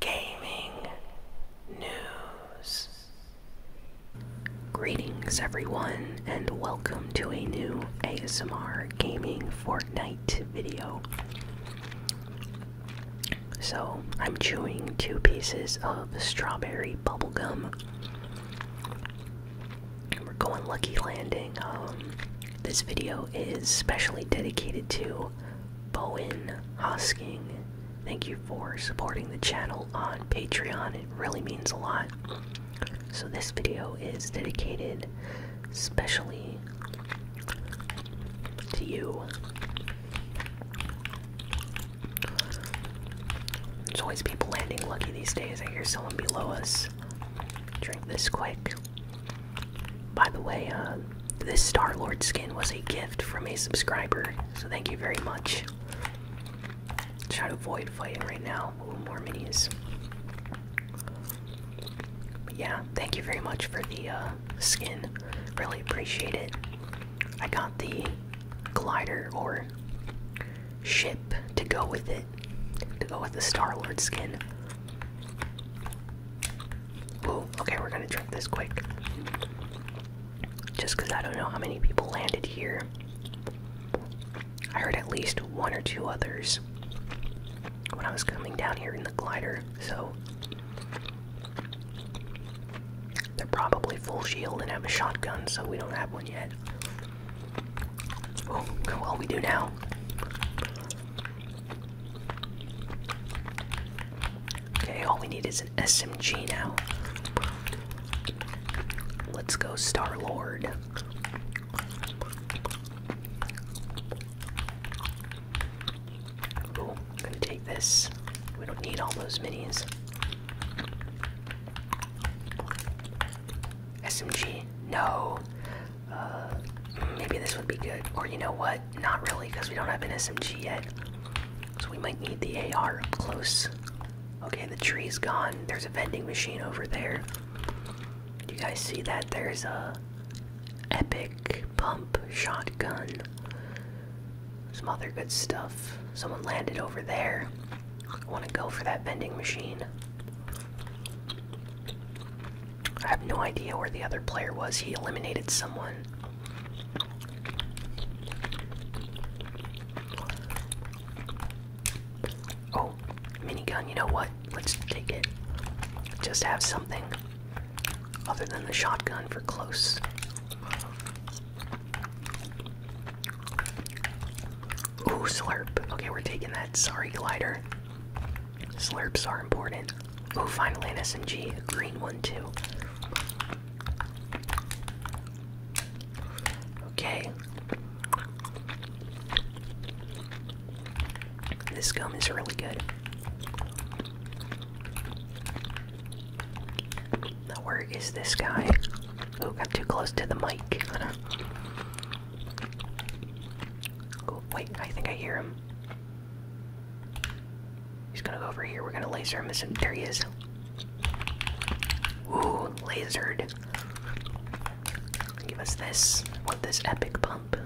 gaming news. Greetings, everyone, and welcome to a new ASMR gaming Fortnite video. So, I'm chewing two pieces of strawberry bubblegum. We're going lucky landing. Um, this video is specially dedicated to Bowen Hosking Thank you for supporting the channel on Patreon. It really means a lot. So, this video is dedicated specially to you. It's always people landing lucky these days. I hear someone below us. Drink this quick. By the way, uh, this Star Lord skin was a gift from a subscriber, so thank you very much. Try to avoid fighting right now. more minis. yeah, thank you very much for the uh, skin. Really appreciate it. I got the glider or ship to go with it, to go with the Star Lord skin. Ooh, okay, we're gonna drink this quick. Just because I don't know how many people landed here. I heard at least one or two others when I was coming down here in the glider, so they're probably full shield and have a shotgun, so we don't have one yet. Oh, well, we do now. Okay, all we need is an SMG now. Let's go, Star Lord. I'm gonna take this. We don't need all those minis. SMG, no. Uh, maybe this would be good. Or you know what? not really because we don't have an SMG yet. So we might need the AR up close. Okay, the tree's gone. There's a vending machine over there. Do you guys see that? There's a epic pump shotgun. Some other good stuff. Someone landed over there. I want to go for that vending machine. I have no idea where the other player was. He eliminated someone. Oh, minigun, you know what? Let's take it. Just have something other than the shotgun for close. Ooh, slurp. Okay, we're taking that. Sorry, glider. Slurps are important. Oh, finally an SMG, a green one too. Okay. This gum is really good. where is this guy? Oh, got too close to the mic. Oh, wait, I think I hear him. He's gonna go over here. We're gonna laser him. There he is. Ooh, lasered. Give us this. Want this epic pump?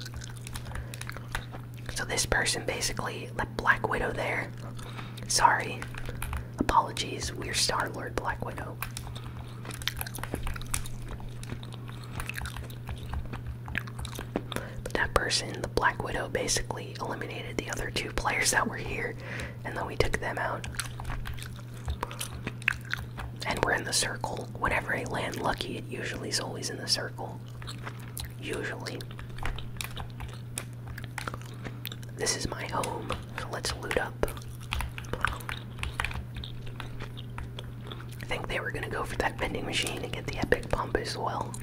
So this person basically, like Black Widow, there. Sorry. Apologies. We're Star Lord Black Widow that person, the Black Widow, basically eliminated the other two players that were here, and then we took them out. And we're in the circle. Whenever I land lucky, it usually is always in the circle. Usually. This is my home, so let's loot up. I think they were gonna go for that vending machine and get the epic pump as well.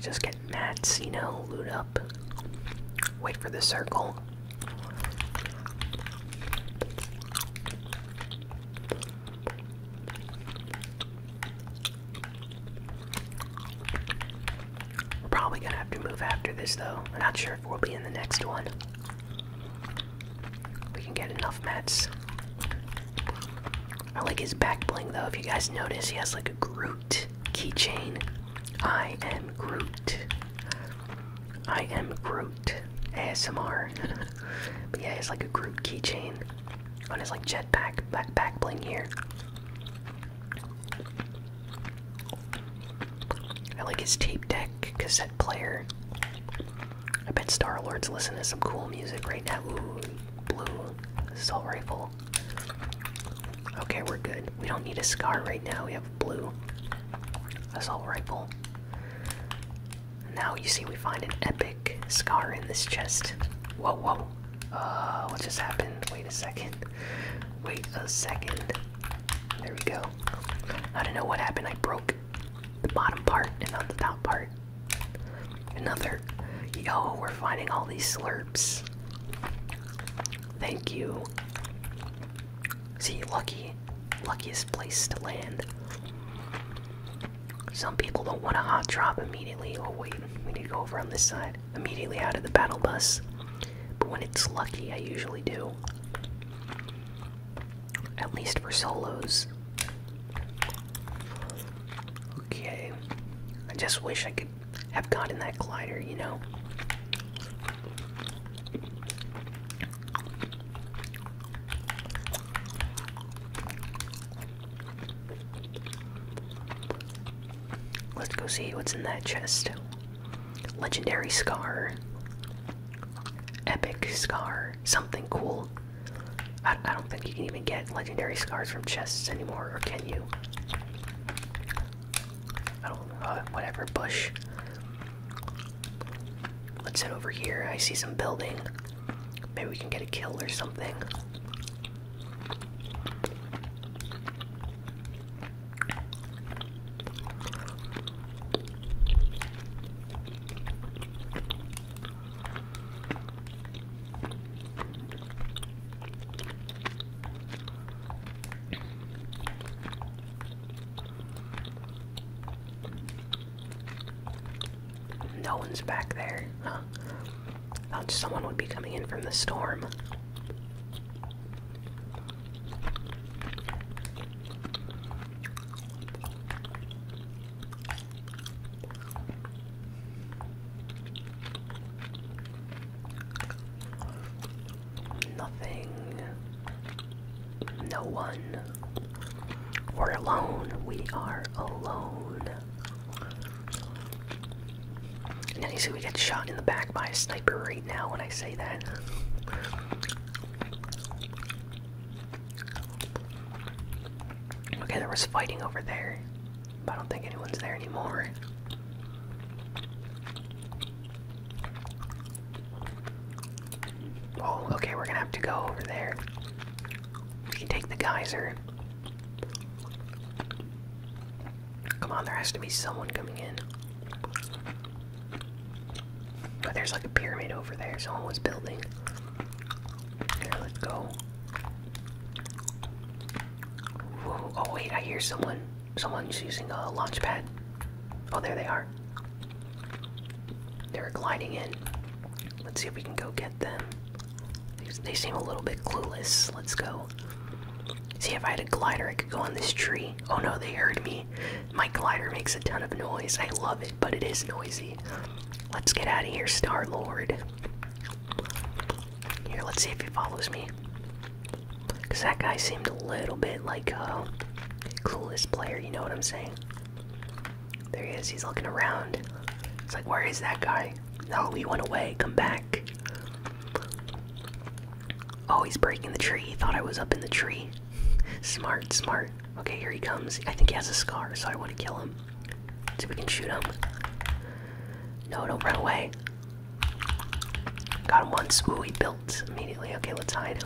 Just get mats, you know, loot up. Wait for the circle. We're probably gonna have to move after this though. not sure if we'll be in the next one. We can get enough mats. I like his back bling though. If you guys notice, he has like a Groot keychain. I am Groot. I am Groot. ASMR. but yeah, it's like a Groot keychain on his like jetpack back back bling here. I like his tape deck cassette player. I bet Star Lord's listen to some cool music right now. Ooh, blue assault rifle. Okay, we're good. We don't need a scar right now. We have blue assault rifle. Now you see we find an epic scar in this chest. Whoa, whoa. Uh, what just happened? Wait a second. Wait a second. There we go. I don't know what happened. I broke the bottom part and not the top part. Another. Yo, we're finding all these slurps. Thank you. See, lucky. Luckiest place to land. Some people don't want a hot drop immediately. Oh, wait. We need to go over on this side. Immediately out of the battle bus. But when it's lucky, I usually do at least for solos. Okay, I just wish I could have gotten that glider, you know. Let's go see what's in that chest. Legendary Scar. Epic Scar. Something cool. I, don't think you can even get legendary scars from chests anymore, or can you? I don't uh, whatever, bush. Let's head over here. I see some building. Maybe we can get a kill or something. No one's back there, huh? Thought someone would be coming in from the storm. Nothing. No one. We're alone. We are alone. Now you see we get shot in the back by a sniper right now when I say that. Okay, there was fighting over there, I don't think anyone's there anymore. Oh, okay, we're gonna have to go over there. We can take the geyser. Come on, there has to be someone coming in. But There's like a pyramid over there, someone was building. Here, let's go. oh wait, I hear someone. Someone's using a launch pad. Oh, there they are. They're gliding in. Let's see if we can go get them. They seem a little bit clueless. Let's go. See, if I had a glider, I could go on this tree. Oh no, they heard me. My glider makes a ton of noise. I love it, but it is noisy. Let's get out of here, Star Lord. Here, let's see if he follows me. Because that guy seemed a little bit like a uh, coolest player, you know what I'm saying? There he is, he's looking around. It's like, where is that guy? Oh, he went away, come back. Oh, he's breaking the tree. thought I was up in the tree. smart, smart. Okay, here he comes. I think he has a scar, so I want to kill him. Let's see if we can shoot him. No, don't run away. Got him once. Ooh, he built immediately. Okay, let's hide.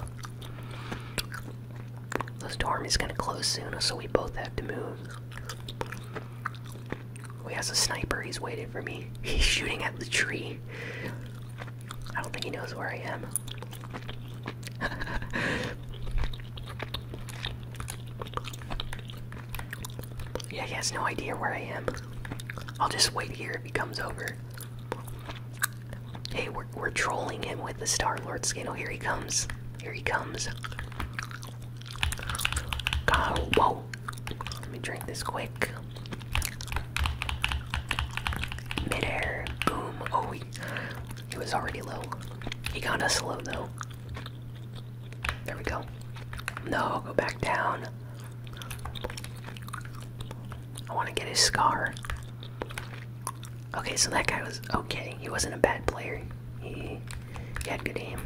This dorm is gonna close soon, so we both have to move. Oh, he has a sniper. He's waiting for me. He's shooting at the tree. I don't think he knows where I am yeah, he has no idea where I am. I'll just wait here if he comes over. Hey, we're, we're trolling him with the Star Lord skin. Oh, here he comes. Here he comes. whoa. Let me drink this quick. Midair. Boom. Oh, he was already low. He got us low though. There we go. No, go back down. I want to get his scar. Okay, so that guy was okay. He wasn't a bad player. He, he had good aim.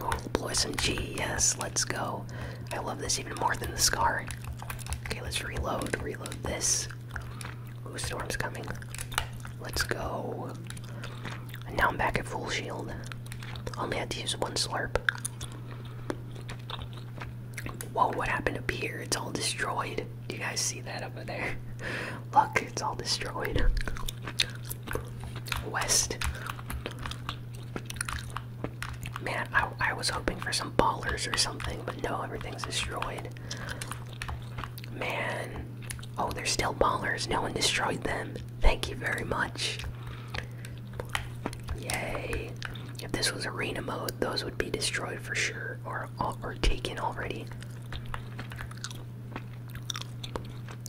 Oh, deploy G. Yes, let's go. I love this even more than the scar. Okay, let's reload. Reload this. Ooh, storm's coming. Let's go. now I'm back at full shield. Only had to use one slurp. Whoa, what happened up here? It's all destroyed. Do you guys see that over there? Look, it's all destroyed. West. Man, I was hoping for some ballers or something, but no, everything's destroyed. Man. Oh, they're still ballers. No one destroyed them. Thank you very much. Yay. If this was arena mode, those would be destroyed for sure or or taken already.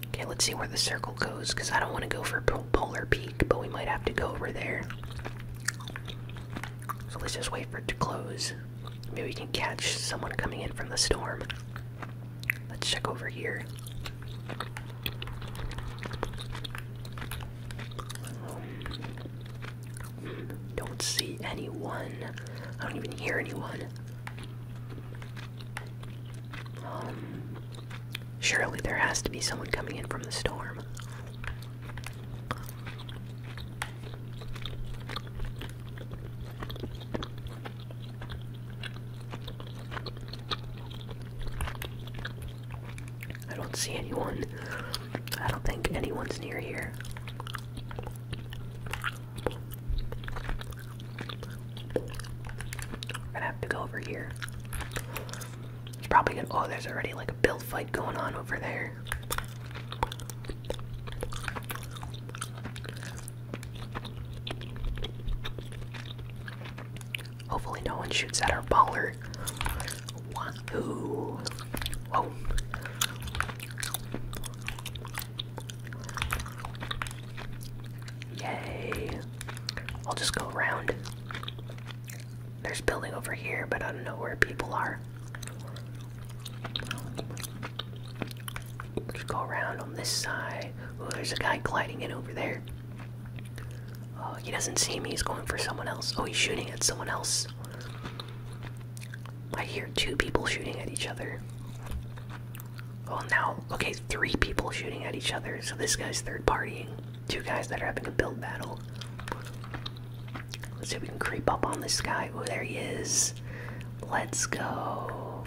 Okay, let's see where the circle goes because I don't want to go for Polar Peak, but we might have to go over there. So let's just wait for it to close. Maybe we can catch someone coming in from the storm. Let's check over here. don't see anyone. I don't even hear anyone. Um, surely there has to be someone coming in from the storm. I don't see anyone. I don't think anyone's near here. We're gonna have to go over here. It's probably gonna. Oh, there's already like a build fight going on over there. Hopefully no one shoots at our baller. Whoa! Yay! I'll just go around. There's building over here, but I don't know where people are. Just go around on this side. Oh, there's a guy gliding in over there. Oh, he doesn't see me. He's going for someone else. Oh, he's shooting at someone else. I hear two people shooting at each other. Oh, now, okay, three people shooting at each other. So this guy's third partying. Two guys that are having a build battle. Let's see if we can creep up on this guy. Oh, there he is. Let's go.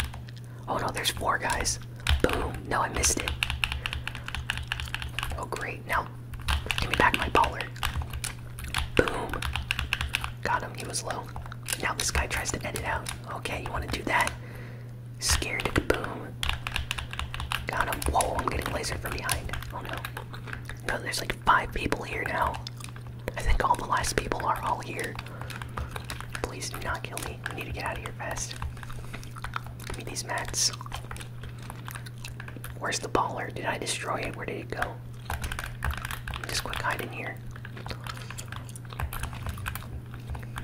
Oh no, there's four guys. Boom. No, I missed it. Oh, great. Now, give me back my baller. Boom. Got him. He was low. Now this guy tries to edit out. Okay, you want to do that? Scared to kaboom. Got him. Whoa, I'm getting laser from behind. Oh no. No, there's like five people here now. I think all the last people are all here. Please do not kill me. I need to get out of here fast. Give me these mats. Where's the baller? Did I destroy it? Where did it go? Just quick hide in here.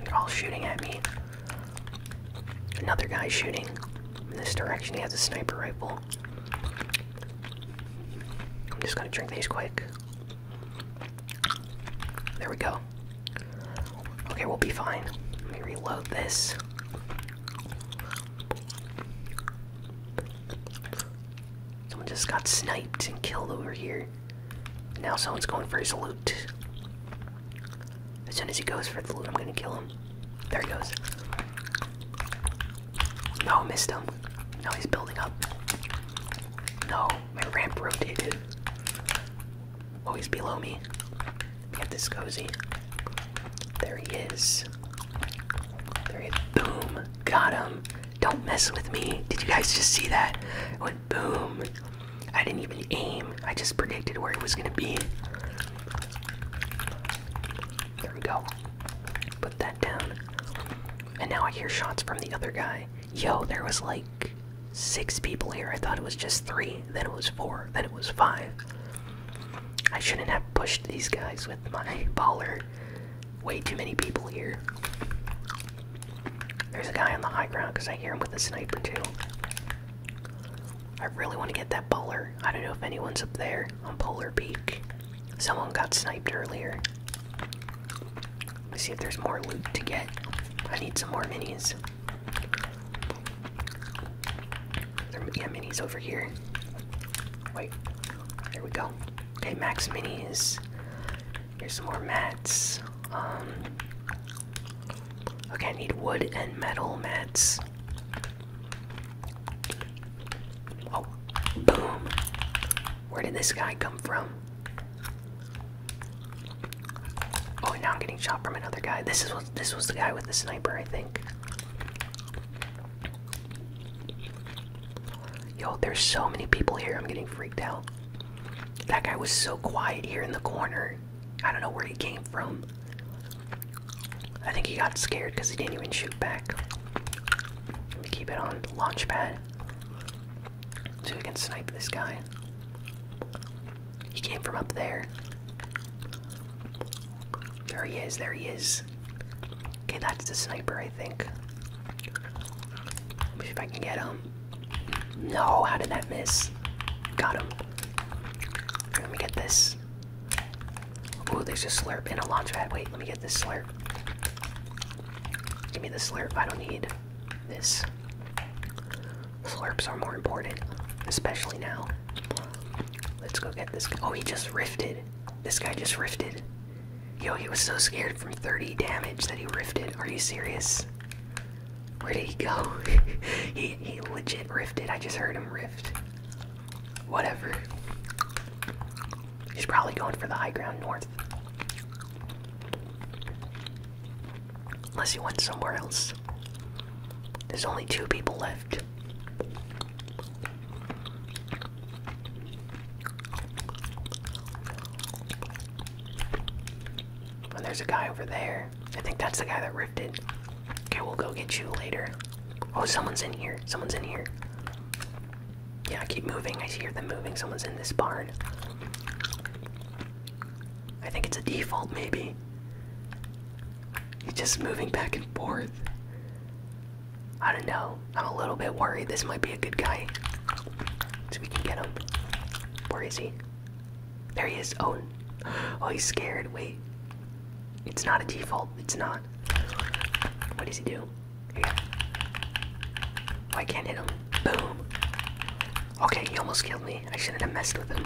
They're all shooting at me. Another guy shooting in this direction. He has a sniper rifle. I'm just gonna drink these quick. There we go. Okay, we'll be fine. Let me reload this. Someone just got sniped and killed over here. Now someone's going for his loot. As soon as he goes for the loot, I'm gonna kill him. There he goes. No, missed him. Now he's building up. No, my ramp rotated. Oh, he's below me. Get this cozy. There he is. There he is. Boom. Got him. Don't mess with me. Did you guys just see that? It went boom. I didn't even aim. I just predicted where it was going to be. There we go. Put that down. And now I hear shots from the other guy. Yo, there was like six people here. I thought it was just three. Then it was four. Then it was five. I shouldn't have pushed these guys with my baller. Way too many people here. There's a guy on the high ground because I hear him with a sniper too. I really want to get that baller. I don't know if anyone's up there on Polar Peak. Someone got sniped earlier. Let's see if there's more loot to get. I need some more minis. There, yeah, minis over here. Wait, there we go. Okay, max minis. Here's some more mats. Um, okay, I need wood and metal mats. Oh, boom. Where did this guy come from? Oh, now I'm getting shot from another guy. This is what this was the guy with the sniper, I think. Yo, there's so many people here. I'm getting freaked out. That guy was so quiet here in the corner. I don't know where he came from. I think he got scared because he didn't even shoot back. Let me keep it on launch pad. So we can snipe this guy. He came from up there. There he is, there he is. Okay, that's the sniper, I think. Let me see if I can get him. No, how did that miss? Got him. Let me get this. Oh, there's a slurp and a launch pad. Wait, let me get this slurp. Give me the slurp. I don't need this. Slurps are more important, especially now. Let's go get this. Oh, he just rifted. This guy just rifted. Yo, he was so scared from 30 damage that he rifted. Are you serious? Where did he go? he, he legit rifted. I just heard him rift. Whatever. He's probably going for the high ground north. Unless he went somewhere else. There's only two people left. And there's a guy over there. I think that's the guy that rifted. Okay, we'll go get you later. Oh, someone's in here. Someone's in here. Yeah, keep moving. I hear them moving. Someone's in this barn. I think it's a default, maybe. He's just moving back and forth. I don't know. I'm a little bit worried. This might be a good guy. So we can get him. Where is he? There he is. Oh, oh he's scared. Wait. It's not a default. It's not. What does he do? Here. Oh, I can't hit him. Boom. Okay, he almost killed me. I shouldn't have messed with him.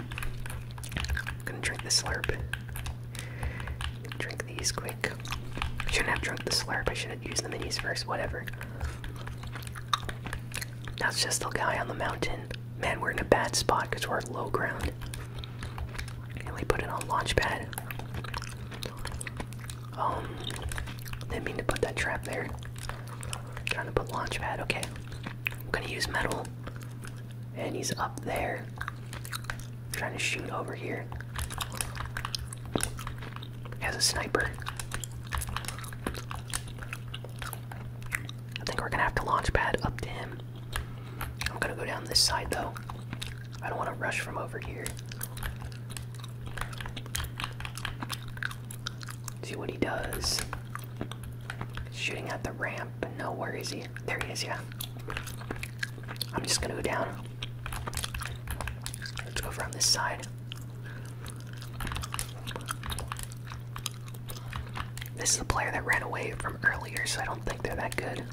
I'm gonna drink the slurp. Drink these quick. I shouldn't have drunk the slurp. I should have used the minis first. Whatever. That's just the guy on the mountain. Man, we're in a bad spot because we're at low ground and we put it on Launchpad. Um, didn't mean to put that trap there. I'm trying to put Launchpad, okay. I'm gonna use metal. And he's up there. trying to shoot over here. As a sniper. I think we're gonna have to launch pad up to him. I'm gonna go down this side though. I don't want to rush from over here. See what he does. Shooting at the ramp, no, where is he? There he is, yeah. I'm just gonna go down. Let's go from this side. This is the player that ran away from earlier, so I don't think they're that good.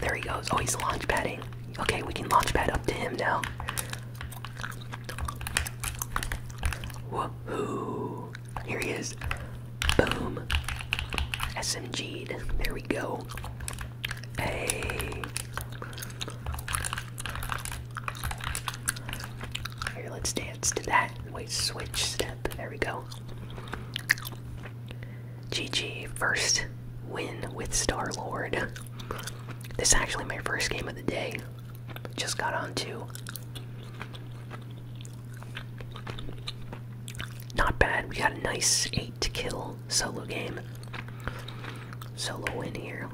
There he goes. Oh, he's launch padding. Okay, we can launch pad up to him now. Woohoo! Here he is. Boom. smg There we go. Hey. Here, let's dance to that. Wait, switch step. There we go. GG, first win with Star Lord. This is actually my first game of the day. Just got on Not bad. We got a nice 8 to kill solo game. Solo win here.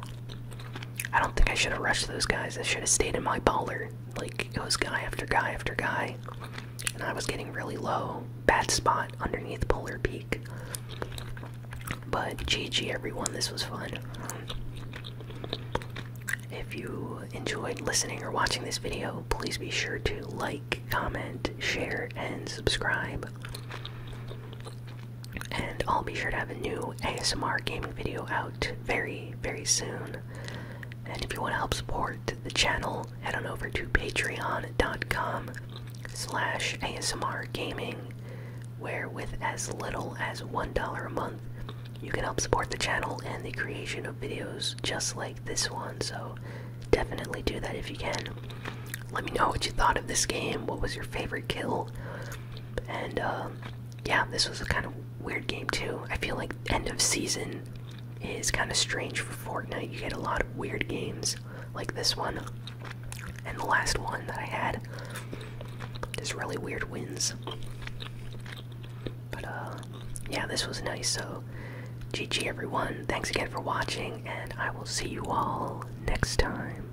I don't think I should have rushed those guys. I should have stayed in my baller. Like it was guy after guy after guy, and I was getting really low. Bad spot underneath Polar Peak. But GG everyone, this was fun. If you enjoyed listening or watching this video, please be sure to like, comment, share, and subscribe. And I'll be sure to have a new ASMR gaming video out very, very soon. And if you want to help support the channel, head on over to patreon.com slash ASMR Gaming, where with as little as $1 a month, you can help support the channel and the creation of videos just like this one. So definitely do that if you can. Let me know what you thought of this game, what was your favorite kill, and uh, yeah, this was a kind of weird game too. I feel like end of season is kind of strange for Fortnite. You get a lot of weird games like this one. And the last one that I had. Just really weird wins. But, uh, yeah, this was nice. So, GG everyone. Thanks again for watching, and I will see you all next time.